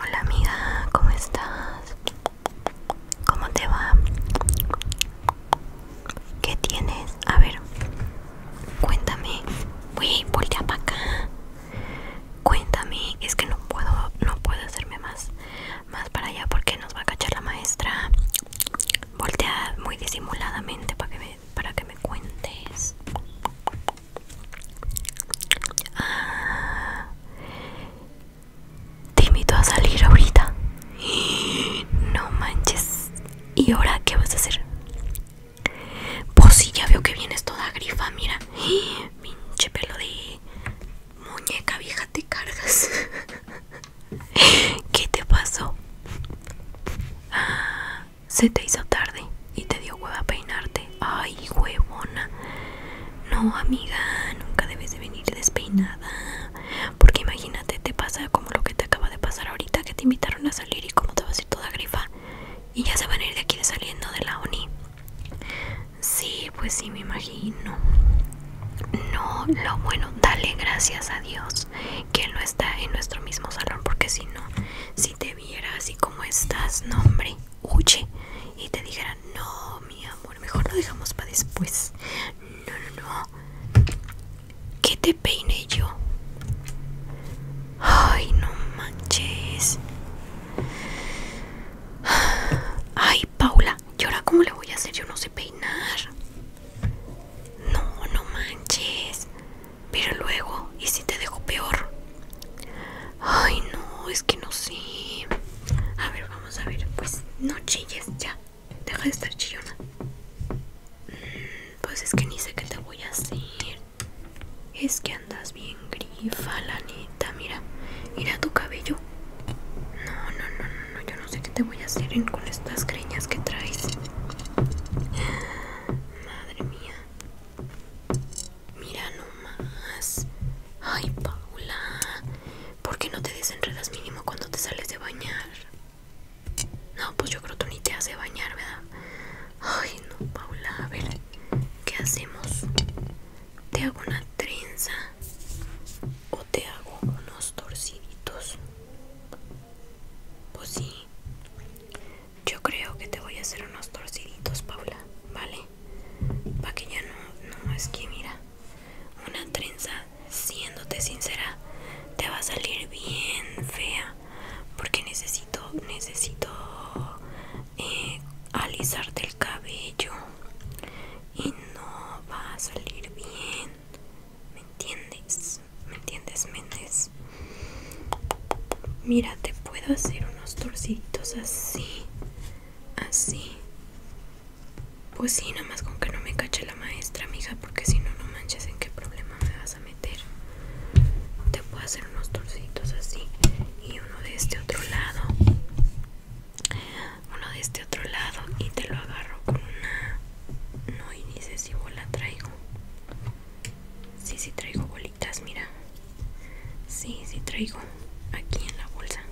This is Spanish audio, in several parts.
Hola amiga, ¿cómo estás? ¿Cómo te va? ¿Qué tienes? A ver, cuéntame. Uy, voltea para acá. Cuéntame, es que no puedo, no puedo hacerme más, más para allá porque nos va a cachar la maestra. Voltea muy disimuladamente para que me, para que me cuentes. Ah, te invito a salir ahorita. No manches. ¿Y ahora qué vas a hacer? Pues sí, ya veo que vienes toda grifa, mira. Pinche pelo de muñeca vieja te cargas. ¿Qué te pasó? Ah, se te hizo tarde y te dio hueva peinarte. Ay, huevona. No, amiga, nunca debes de venir despeinada. Porque imagínate, te pasa como lo que te acaba de pasar ahorita, que te invitaron a salir y como te vas a ir toda grifa. Y ya se van a ir de aquí de saliendo de la ONI. Sí, pues sí, me imagino. No, lo bueno, dale gracias a Dios que no está en nuestro mismo salón, porque si no, si te viera así como estás, no, hombre huye y te dijera no, mi amor, mejor lo dejamos para después. No, no, no. ¿qué te peiné yo. Ay, no manches. Ay, Paula, ¿y ahora cómo le voy a hacer? Yo no sé peinar. No, no manches. Pero luego, ¿y si te dejo peor? Ay, no, es que no sé. A ver, vamos a ver. Pues no chilles, ya. Deja de estar chillona. Mm, pues es que ni sé qué te voy a hacer. Es que andas bien grifa, la neta. Mira, mira tu cabello. No, no, no, no, no. Yo no sé qué te voy a hacer con estas creñas que traes. Madre mía. Mira nomás. Ay, Paula. ¿Por qué no te desenredas mínimo cuando te sales de bañar? No, pues yo creo que tú ni te hace bañar, ¿verdad? Ay, no, Paula. A ver, ¿qué hacemos? Te hago una trenza o te hago unos torciditos. Pues sí. Yo creo que te voy a hacer unos torciditos, Paula, ¿vale? Para que ya no, no, es que mira, una trenza, siéndote sincera, te va a salir bien fea. Porque necesito, necesito eh, alisarte el cabello. Y no va a salir bien. ¿Me entiendes? ¿Me entiendes, Méndez? Mira, te puedo hacer unos torcitos así. Así. Pues sí, nada más con que no me cache la maestra, mija, porque si no, no manches en qué problema me vas a meter. Te puedo hacer unos torcitos así. Y uno de este otro lado. Uno de este otro lado. Y te lo agarro con una. No, y dice si bola traigo. Sí, sí traigo bola mira. Sí, sí traigo aquí en la bolsa.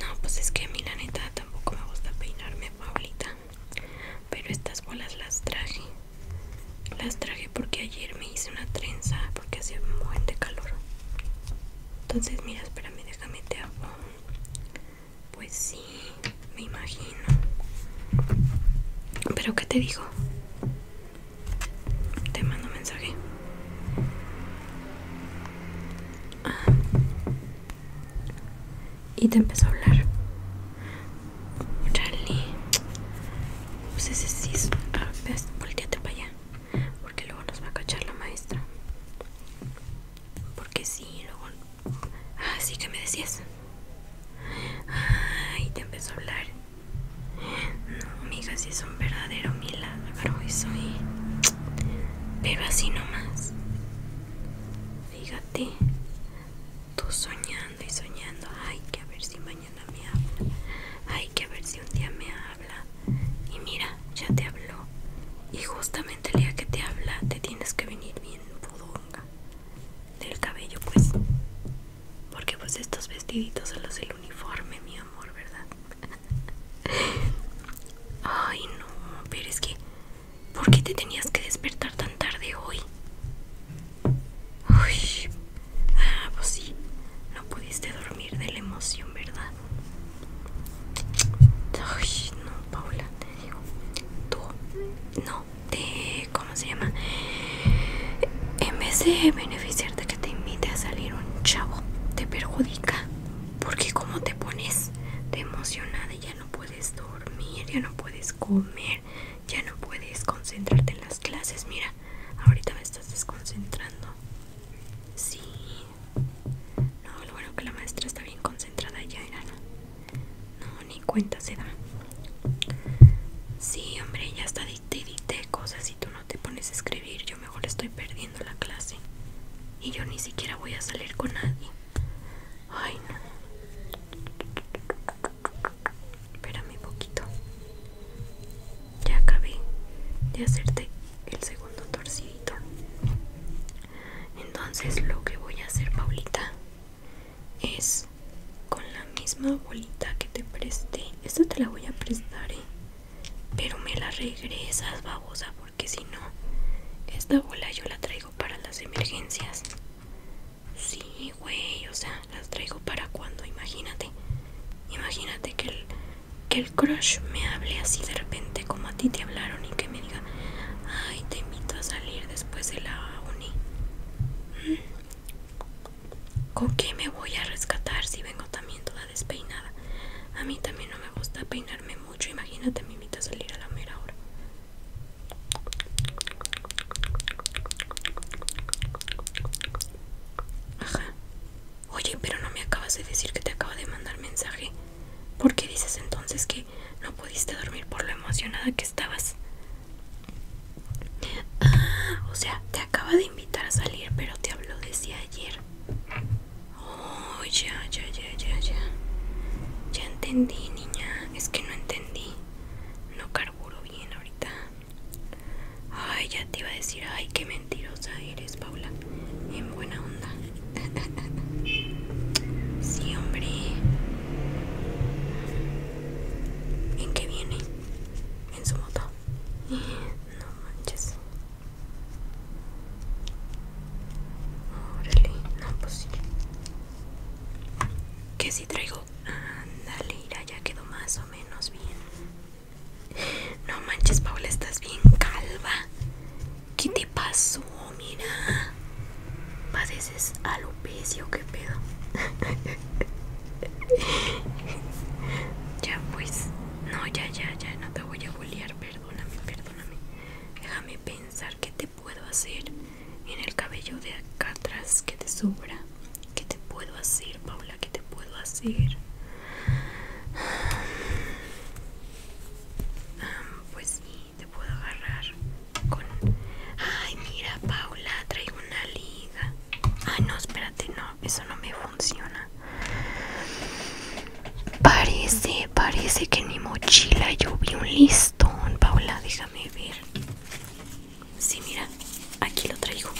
No, pues es que a mí la neta tampoco me gusta peinarme, Paulita. Pero estas bolas las traje. Las traje porque ayer me hice una trenza porque hacía un buen de calor. Entonces, mira, espérame, déjame te hago. Pues sí, me imagino. Pero ¿qué te digo? Te mando un mensaje. Ah. Y te empezó a hablar. Charlie. Pues ese sí es. Ah, para allá. Porque luego nos va a cachar la maestra. Porque sí, luego. ¿Así ah, que me decías. y te empezó a hablar. No, amiga, si es un verdadero milagro y soy. ¿eh? Pero así nomás. Fíjate, tú soñando y soñando. Hay que ver si mañana me habla. Hay que ver si un día me habla. Y mira, ya te habló. Y justamente el día que te habla, te tienes que venir bien pudonga del cabello, pues. Porque pues estos vestiditos son los del uniforme, mi amor, ¿verdad? Ay, no, pero es que... ¿Por qué te tenías que despertar tan tarde hoy? Uy, ah, pues sí, no pudiste dormir de la emoción, ¿verdad? no, Paula, te digo. Tú, no, te... ¿Cómo se llama? En vez de beneficiar de que te invite a salir un chavo te perjudica porque como te pones de emocionada ya no puedes dormir ya no puedes comer ya no puedes concentrarte en las clases mira ahorita me estás desconcentrando sí no lo bueno que la maestra está bien concentrada ya era no ni cuenta se da sí hombre ya está te dite cosas y tú no te pones a escribir, yo mejor estoy perdiendo la clase. Y yo ni siquiera voy a salir con nadie. Ay, no. Espérame un poquito. Ya acabé de hacerte el segundo torcito Entonces lo que voy a hacer, Paulita, es con la misma bolita que te presté esta te la voy a prestar, ¿eh? Pero me la regresas, babosa, porque si no, esta bola yo la traigo para las emergencias. Sí, güey, o sea, las traigo para cuando, imagínate. Imagínate que el, que el crush me hable así de repente como a ti te hablaron y que me diga, ay, te invito a salir después de la uni. ¿Con qué me voy a rescatar si vengo también toda despeinada? A mí también no me gusta peinarme mucho. Imagínate, me invita a salir a la mera hora. Ajá. Oye, pero no me acabas de decir que te acaba de mandar mensaje. ¿Por qué dices entonces que no pudiste dormir por lo emocionada que estabas? Ah, o sea, te acaba de invitar a salir, pero te hablo desde ayer. Oh, ya, ya, ya, ya, ya. Ya entendí, niña. Es que no entendí. No carburo bien ahorita. Ay, ya te iba a decir, ay, qué mentirosa eres, Paula. En buena onda. sí, hombre. ¿En qué viene? En su moto. No manches. Órale, no, pues Que si traigo. Ándale, ya quedó más o menos bien. No manches, Paula, estás bien calva. ¿Qué te pasó? Mira. Padeces pecio qué pedo. ya pues, no, ya, ya, ya, no te voy a bolear, perdóname, perdóname. Déjame pensar qué te puedo hacer en el cabello de acá atrás que te sobra. ¿Qué te puedo hacer, Paula? ¿Qué te puedo hacer? pues sí, te puedo agarrar con... Ay, mira, Paula, traigo una liga. Ay, ah, no, espérate, no, eso no me funciona. Parece, parece que en mi mochila yo vi un listón, Paula, déjame ver. Sí, mira, aquí lo traigo.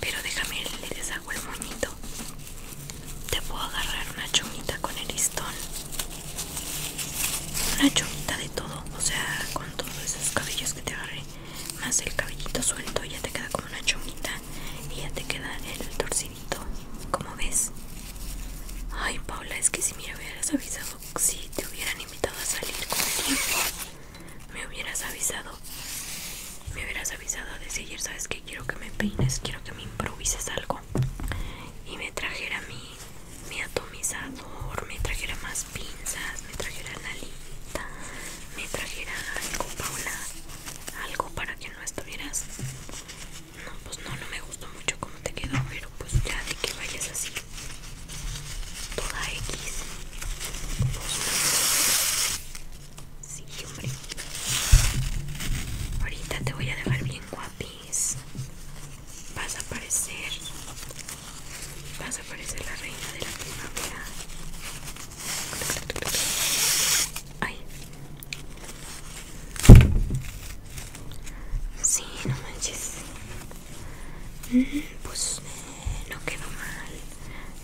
Pero déjame, le deshago el moñito. Te puedo agarrar una chumita con el listón. Una chumita de todo, o sea, con todos esos cabellos que te agarré más el cabellito suelto ya te queda como una chomita y ya te queda el torcidito como ves ay Paula es que si me hubieras avisado si te hubieran invitado a salir con me hubieras avisado me hubieras avisado de seguir sabes que quiero que me peines quiero que me improvises algo y me trajera mi, mi atomizador me trajera más pinzas me trajera la lita me trajera algo Paula algo para que no estuvieras no pues no no me gustó mucho cómo te quedó pero pues ya de que vayas así toda X sí hombre ahorita te voy a dejar bien guapís, vas a parecer vas a parecer la reina de la primavera. Ay. Sí, no manches. Mm, pues eh, no quedó mal.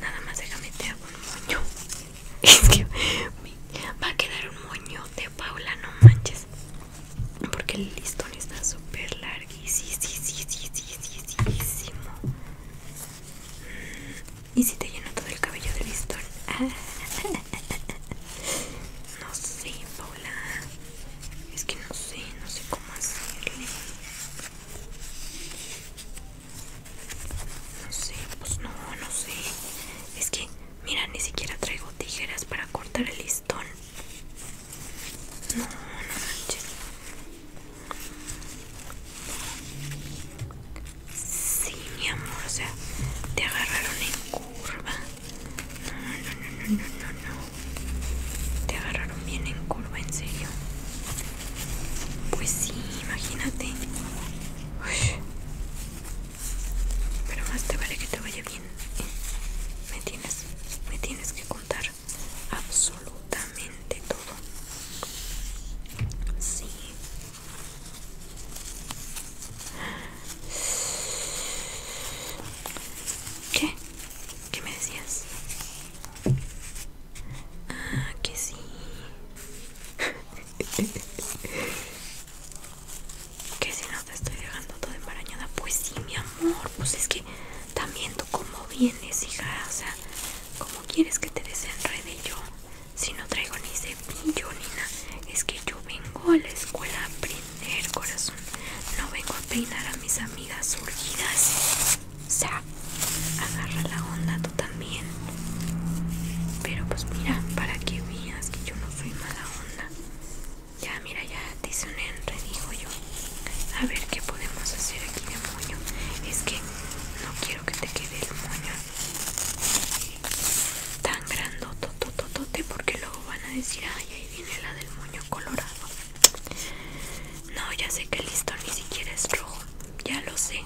Nada más déjame te hago un moño. va a quedar un moño de Paula, no manches. Porque el listón está súper larguísimo. ¿Y si te lleno todo el cabello de listón? Ah. No sé, Paula. Es que no sé, no sé cómo hacerle. No sé, pues no, no sé. Es que, mira, ni siquiera traigo tijeras para cortar el listón. No, no manches. Sí, mi amor, o sea, te agarraron en curva. No, no, no, no, no, no, no. Te agarraron bien en curva, en serio. Pues sí, imagínate. Pero más te vale que te vaya bien. ¿eh? Me tienes, me tienes que contar absolutamente todo. Sí. ¿Qué? ¿Qué me decías? Ah, que sí. que si no te estoy dejando todo embarañada. Pues sí, mi amor. Pues es que también tú como vienes, hija. O sea, ¿Cómo quieres que te desenrede yo? Si no traigo ni cepillo nina Es que yo vengo a la escuela a aprender, corazón. No vengo a peinar a mis amigas surgidas. O sea, agarra la onda tú también. Pero pues mira, para que veas que yo no fui mala onda. Ya, mira, ya te hice un enredijo yo. A ver qué podemos hacer aquí de moño. Es que no quiero que te quede el moño tan grandotototote porque luego van a decir, ay, ahí viene la del moño colorado. No, ya sé que el listón ni siquiera es rojo, ya lo sé.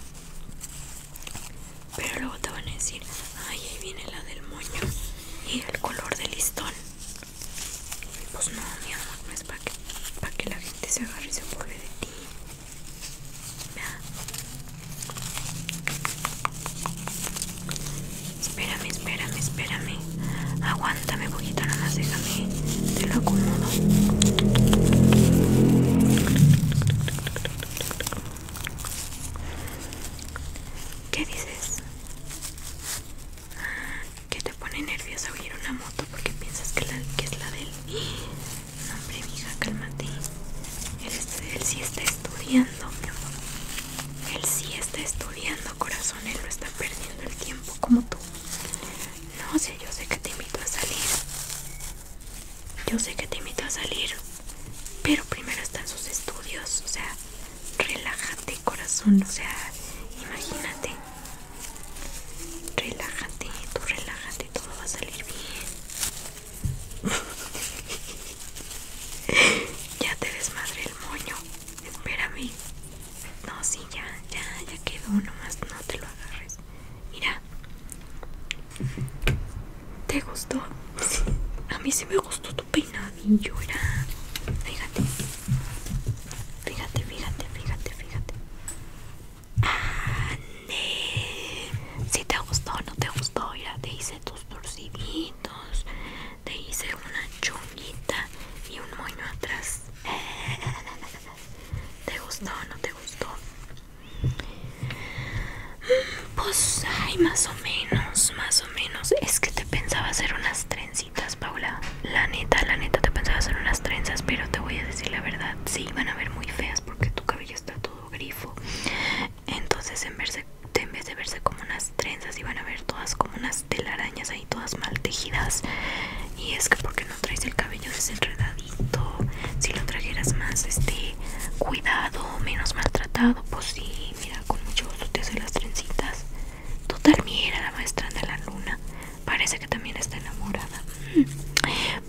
Pero luego te van a decir, ay, ahí viene la del moño y el color del listón. Pues no, mi amor, para que, la gente se agarre y se burle de ti. Espérame, espérame, espérame. Aguántame un poquito, nada más déjame. Te lo acomodo. ¿Qué dices? ¿Qué te pone nerviosa oír una moto? qué piensas que, es la del...? él. No, hombre, mija, cálmate. Él, sí está estudiando, mi Él sí está estudiando, corazón. Él no está perdiendo el tiempo como tú. No sé, yo sé que te invito a salir. Yo sé que te invito a salir. Pero primero están sus estudios. O sea, relájate, corazón. O sea, imagínate. Relájate, tú relájate, todo va a salir bien. ya te desmadré el moño. Espérame. No, sí, ya, ya, ya quedó. Nomás no te lo agarres. Mira. ¿Te gustó? A mí sí me gustó tu peinadillo. Era. Fíjate. Fíjate, fíjate, fíjate, fíjate. Si te gustó o no te gustó, ya te hice tus torciditos, te hice una chunguita y un moño atrás. ¿Te gustó o no te gustó? Pues, hay más o menos, más o menos. Es que te pensaba hacer unas trencitas, Paula. La neta, la neta, te pensaba hacer unas trenzas, pero te voy a decir la verdad. Sí, van a ver muy feas porque tu cabello está todo grifo entonces en, verse, en vez de verse como unas trenzas iban a ver todas como unas telarañas ahí todas mal tejidas y es que porque no traes el cabello desenredadito si lo trajeras más este cuidado menos maltratado pues sí mira con mucho gusto te hacen las trencitas total mira la maestra de la luna Parece que también está enamorada.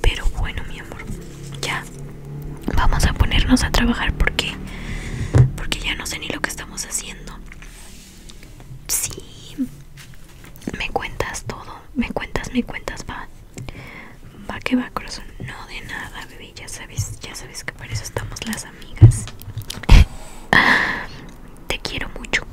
Pero bueno, mi amor, ya vamos a ponernos a trabajar porque porque ya no sé ni lo que estamos haciendo. Sí. Me cuentas todo, me cuentas, me cuentas, va. Va que va, corazón. No de nada, bebé, ya sabes, ya sabes que para eso estamos las amigas. Te quiero mucho.